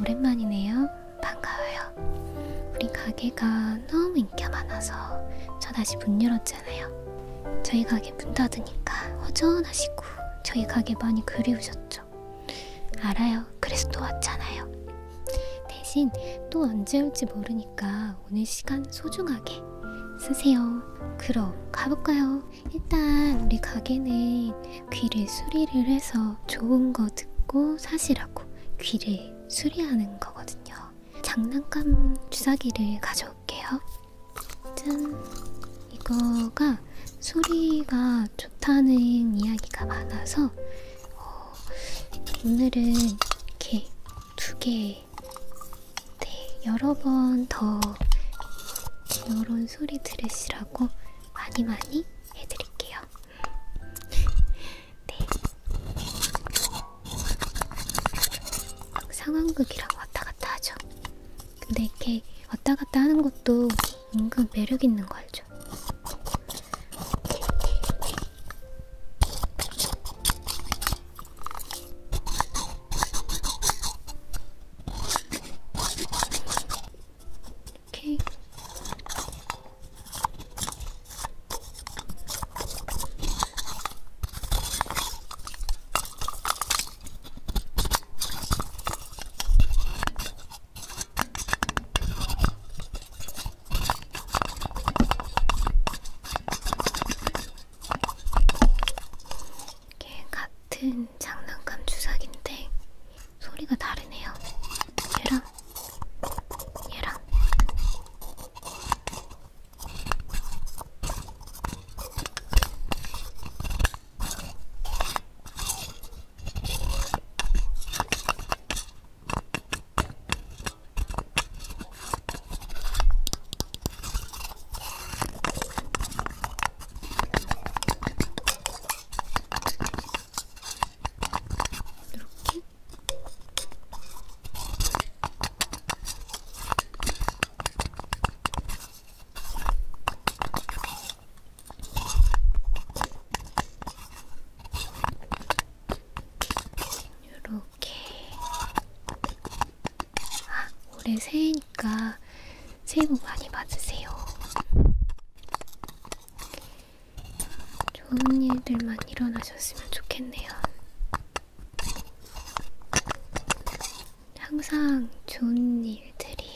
오랜만이네요. 반가워요. 우리 가게가 너무 인기가 많아서 저 다시 문 열었잖아요. 저희 가게 문 닫으니까 허전하시고 저희 가게 많이 그리우셨죠. 알아요. 그래서 또 왔잖아요. 대신 또 언제 올지 모르니까 오늘 시간 소중하게 쓰세요. 그럼 가볼까요? 일단 우리 가게는 귀를 수리를 해서 좋은 거 듣고 사시라고 귀를 수리하는 거거든요. 장난감 주사기를 가져올게요. 짠! 이거가 소리가 좋다는 이야기가 많아서 어, 오늘은 이렇게 두 개, 네, 여러 번 더 이런 소리 들으시라고 많이 많이 해드릴게요. 네. 상황극이랑 왔다갔다 하죠. 근데 이렇게 왔다갔다 하는 것도 은근 매력 있는 거 알죠? 이렇게 이게 같은 장난감 주사기인데 소리가 다르네요. 얘랑 얘랑 이렇게 요렇게 아, 올해 새해니까 새해 복 많이 받으세요. 좋은 일들만 일어나셨으면 좋겠네요. 항상 좋은 일들이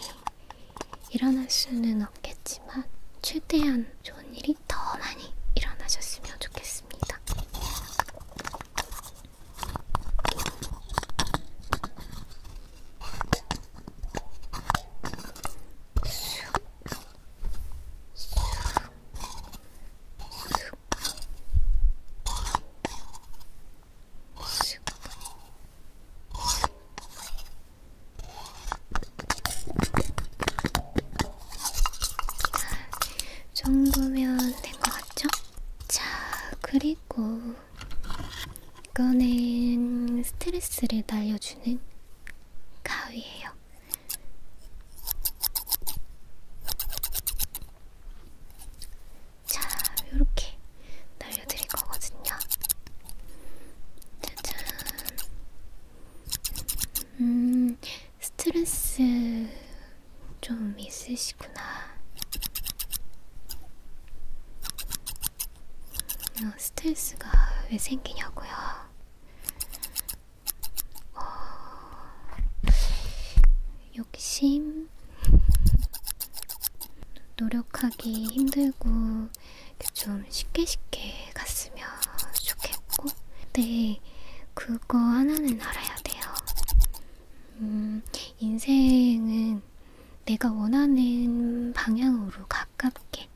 일어날 수는 없겠지만, 최대한 좋은 일이 더 많이 일어나셨으면 좋겠습니다. 정도면 된 것 같죠? 자, 그리고 이거는 스트레스를 날려주는 가위예요. 자, 요렇게 날려드릴 거거든요. 짜잔. 음, 스트레스 좀 있으시구나. 그냥 어, 스트레스가 왜 생기냐고요? 어... 욕심? 노력하기 힘들고 좀 쉽게 쉽게 갔으면 좋겠고 근데 그거 하나는 알아야 돼요. 음, 인생은 내가 원하는 방향으로 가 가깝게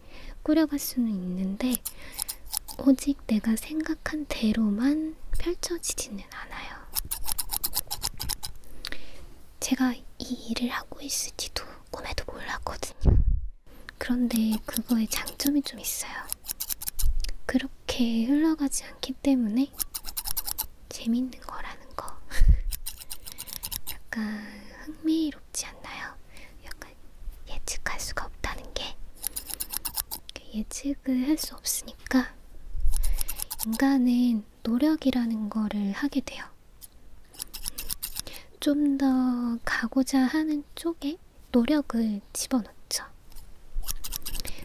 꾸려갈 수는 있는데 오직 내가 생각한 대로만 펼쳐지지는 않아요. 제가 이 일을 하고 있을지도 꿈에도 몰랐거든요. 그런데 그거에 장점이 좀 있어요. 그렇게 흘러가지 않기 때문에 재밌는 거라는 거. 약간 흥미로운 높지 않나요? 약간 예측할 수가 없다는 게 예측을 할 수 없으니까 인간은 노력이라는 거를 하게 돼요. 좀 더 가고자 하는 쪽에 노력을 집어넣죠.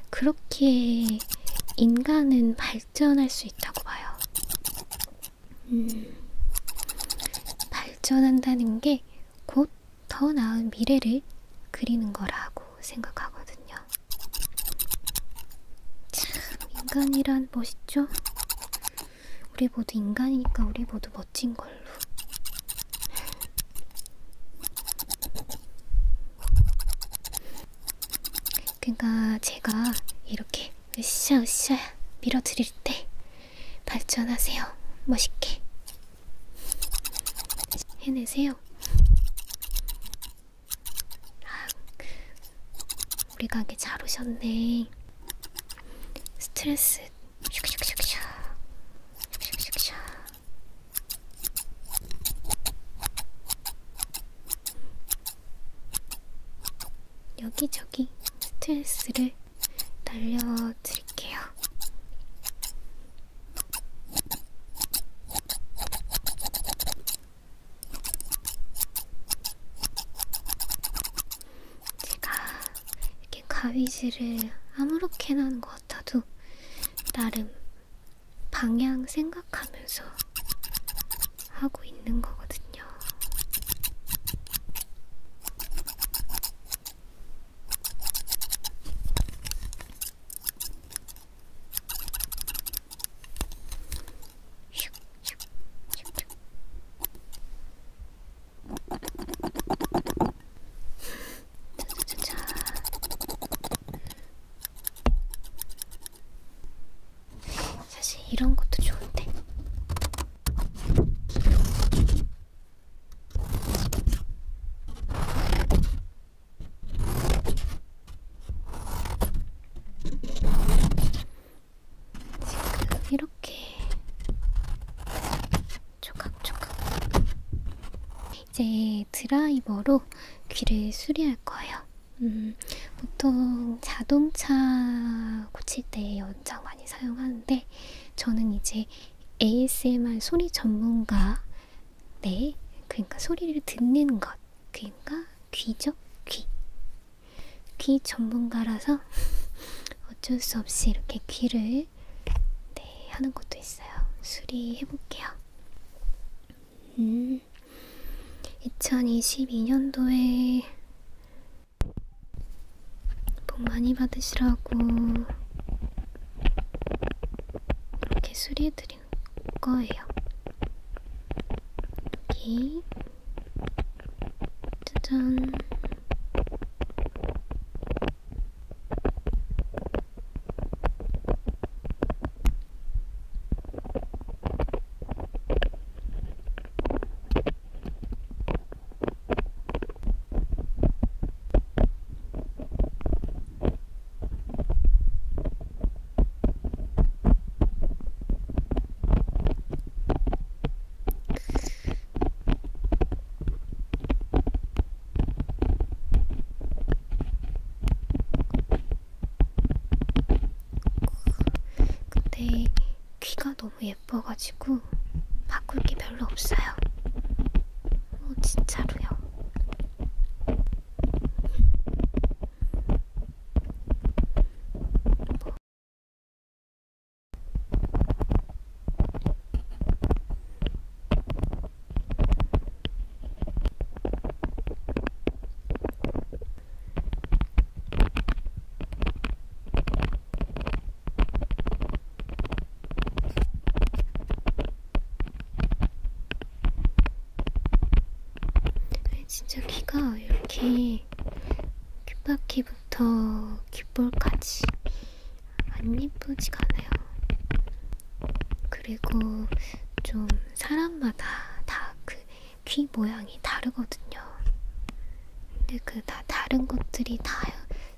그렇게 인간은 발전할 수 있다고 봐요. 음, 발전한다는 게 곧 더 나은 미래를 그리는 거라고 생각하거든요. 참, 인간이란 멋있죠? 우리 모두 인간이니까 우리 모두 멋진 걸로. 그러니까 제가 이렇게 으쌰 으쌰 밀어드릴 때 발전하세요. 멋있게 해내세요. 아, 우리 가게 잘 오셨네. 스트레스 슉슉슉슉 슉슉슉슉 여기저기 스트레스를 날려드릴게요. 제가 이렇게 가위질을 아무렇게나 하는 것 같아도 나름 방향 생각하면서 하고 있는 거거든요. 사실 이런 것도 좋은데. 지금 이렇게 조각조각 이제 드라이버로 귀를 수리할 거예요. 음, 보통 자동차 고칠 때 연장 많이 많이 사용하는데 저는 이제 ASMR 소리 전문가 네 그러니까 소리를 듣는 것 그러니까 귀죠 귀귀 귀 전문가라서 어쩔 수 없이 이렇게 귀를 네 하는 것도 있어요 수리해 볼게요 음 2022년도에 복 많이 받으시라고 이렇게 수리해드린 거예요. 여기 짜잔 근데 귀가 너무 예뻐가지고 바꿀 게 별로 없어요. 어, 진짜로요. 뭐. 네, 진짜 귀가 이렇게 귓바퀴부터 귓볼까지 안 예쁘지가 않아요. 그리고 좀 사람마다 다그 귀 모양이 다르거든요. 근데 그 다 다른 것들이 다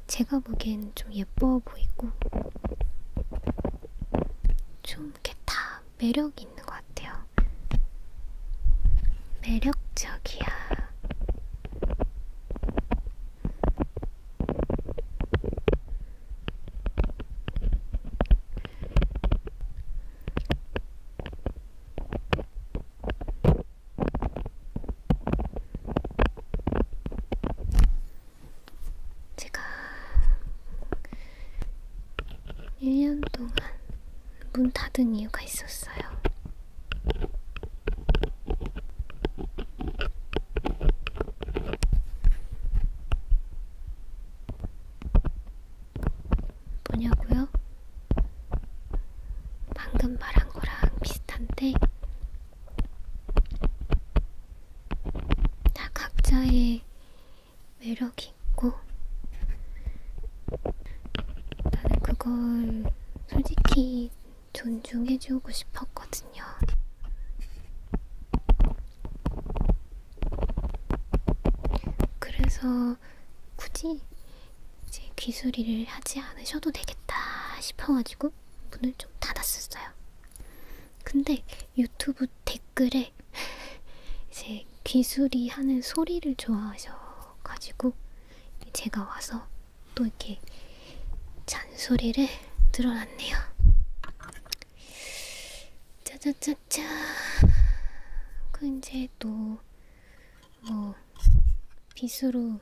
제가 보기엔 좀 예뻐 보이고 좀 이렇게 다 매력이 있는 것 같아요. 매력적이야. 제가 1년 동안 문 닫은 이유가 있었어요. 뭐냐고요? 방금 말한 거랑 비슷한데 다 각자의 매력이 있고 나는 그걸 솔직히 존중해주고 싶었거든요. 그래서 굳이 이제 귀소리를 하지 않으셔도 되겠다 싶어가지고 문을 좀 닫았었어요. 근데 유튜브 댓글에 이제 귀수리 하는 소리를 좋아하셔가지고 제가 와서 또 이렇게 잔소리를 늘어놨네요. 짜자짜짜. 그 이제 또뭐 빗으로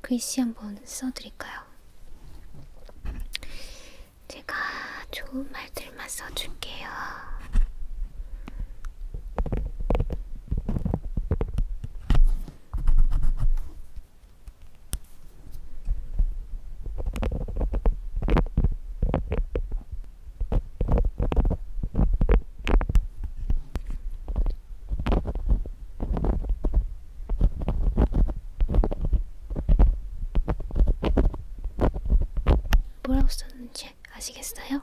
글씨 한번 써드릴까요? 제가 좋은 말들만 써줄게요. 뭐라고 썼는지 아시겠어요?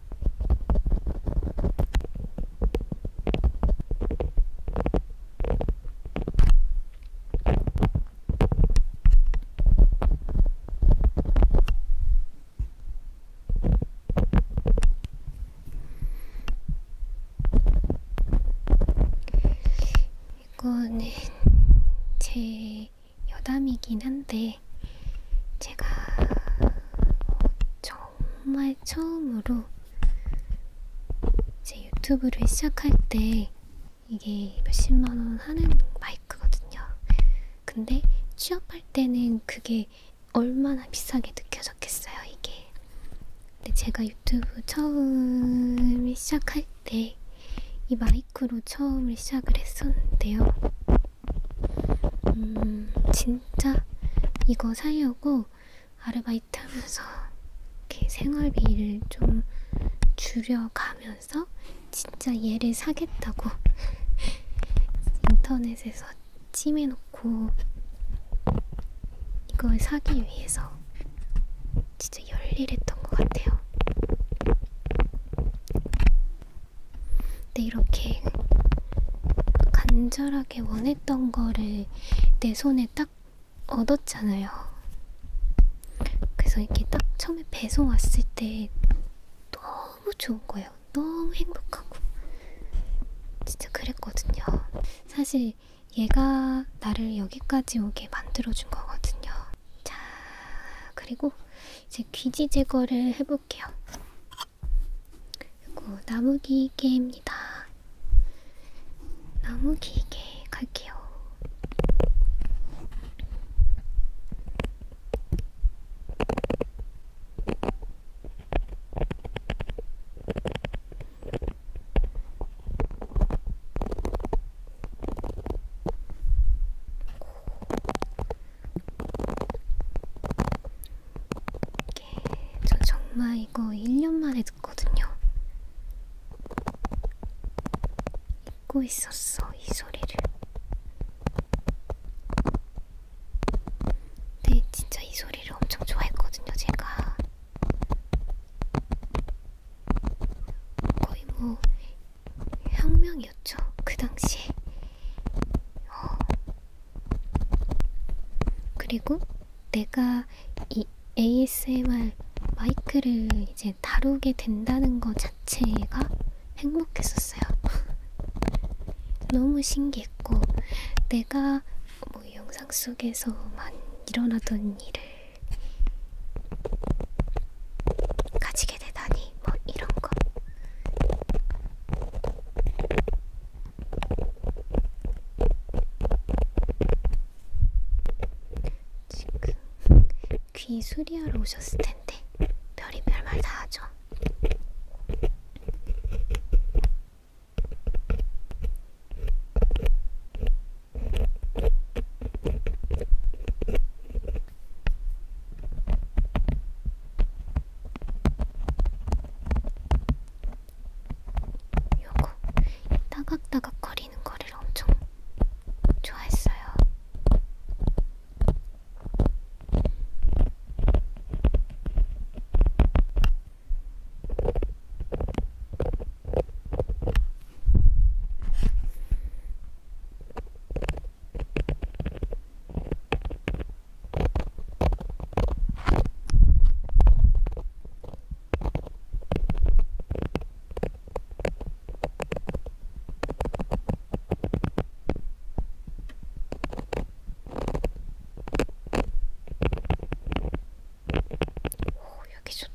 이거는 제 여담이긴 한데 있는데 제가 정말 처음으로 제 유튜브를 시작할 때 이게 몇십만원 하는 마이크거든요. 근데 취업할 때는 그게 얼마나 비싸게 느껴졌겠어요, 이게. 근데 제가 유튜브 처음 시작할 때 이 마이크로 처음을 시작을 했었는데요. 음, 진짜 이거 사려고 아르바이트 하면서 이렇게 생활비를 좀 줄여가면서 진짜 얘를 사겠다고 인터넷에서 찜해놓고 이걸 사기 위해서 진짜 열일했던 것 같아요. 근데 이렇게 간절하게 원했던 거를 내 손에 딱 얻었잖아요. 그래서 이렇게 딱 처음에 배송 왔을 때 너무 좋은 거예요. 너무 행복하고. 진짜 그랬거든요. 사실 얘가 나를 여기까지 오게 만들어준 거거든요. 자, 그리고 이제 귀지 제거를 해볼게요. 그리고 나무기계입니다. 나무기계 갈게요. 이게 저 정말 이거 1년 만에 듣거든요. 잊고 있었어, 이 소리를. 근데 진짜 이 소리를 엄청 좋아했거든요, 제가. 거의 뭐 혁명이었죠, 그 당시에. 어. 그리고 내가 이 ASMR 마이크를 이제 다루게 된다는 것 자체가 행복했었어요. 너무 신기했고, 내가 뭐 영상 속에서만 일어나던 일을 가지게 되다니. 머리 뭐 이런 거. 지금 귀 수리하러 오셨을 텐데 별이 별말 다 하죠. 요거 따각따각 거리는 거리를 엄청 좋아했어요. 오, 여기 좋다.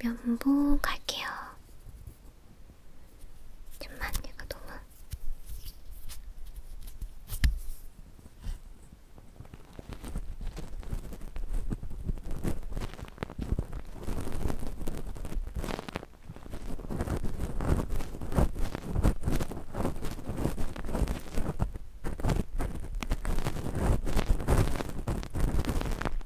면봉할게요. 잠만 얘가 너무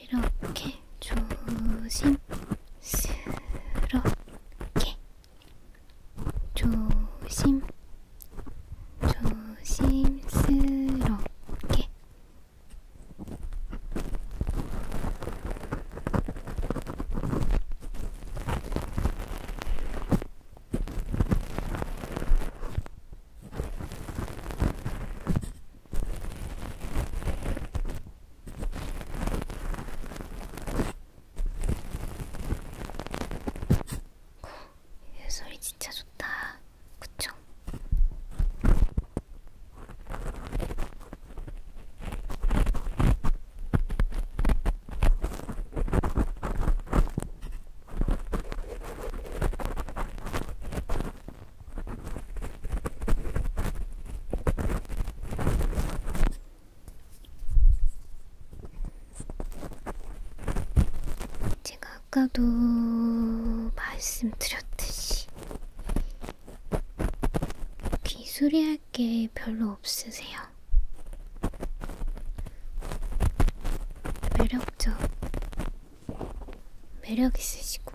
이렇게 조심스럽게 조심 조심스럽게 이 소리 진짜 좋다. 그쵸? 제가 아까도 말씀드렸듯이 기술이 할 게 별로 없으세요. 매력적, 매력 있으시고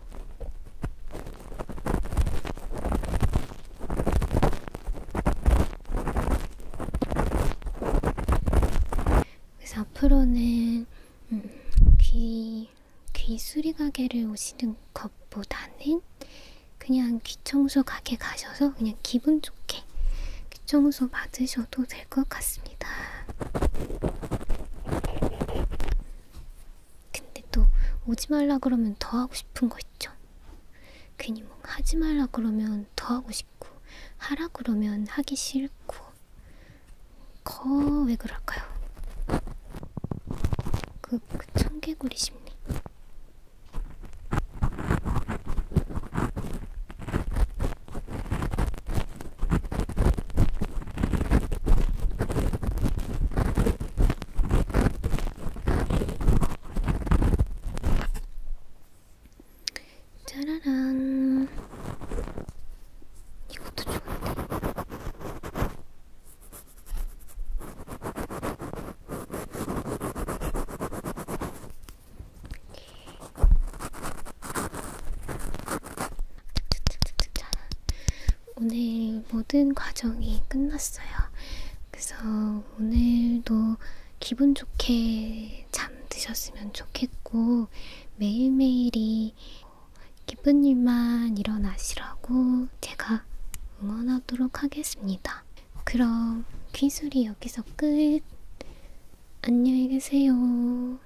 그래서 앞으로는 음, 귀, 귀 수리 가게를 오시는 것보다는 그냥 귀 청소 가게 가셔서 그냥 기분 좋게 귀 청소 받으셔도 될 될것 같습니다. 근데 또 오지 말라 그러면 더 하고 싶은 거 있죠. 괜히 뭐 하지 말라 그러면 더 하고 싶고 하라 그러면 하기 싫고 거 왜 그럴까요? 그, 그 청개구리 심리. 짜라란 이것도 좋은데 오늘 모든 과정이 끝났어요. 그래서 오늘도 기분 좋게 잠드셨으면 좋겠고, 매일매일이 기쁜 일만 일어나시라고 제가 응원하도록 하겠습니다. 그럼 귀술이 여기서 끝! 안녕히 계세요.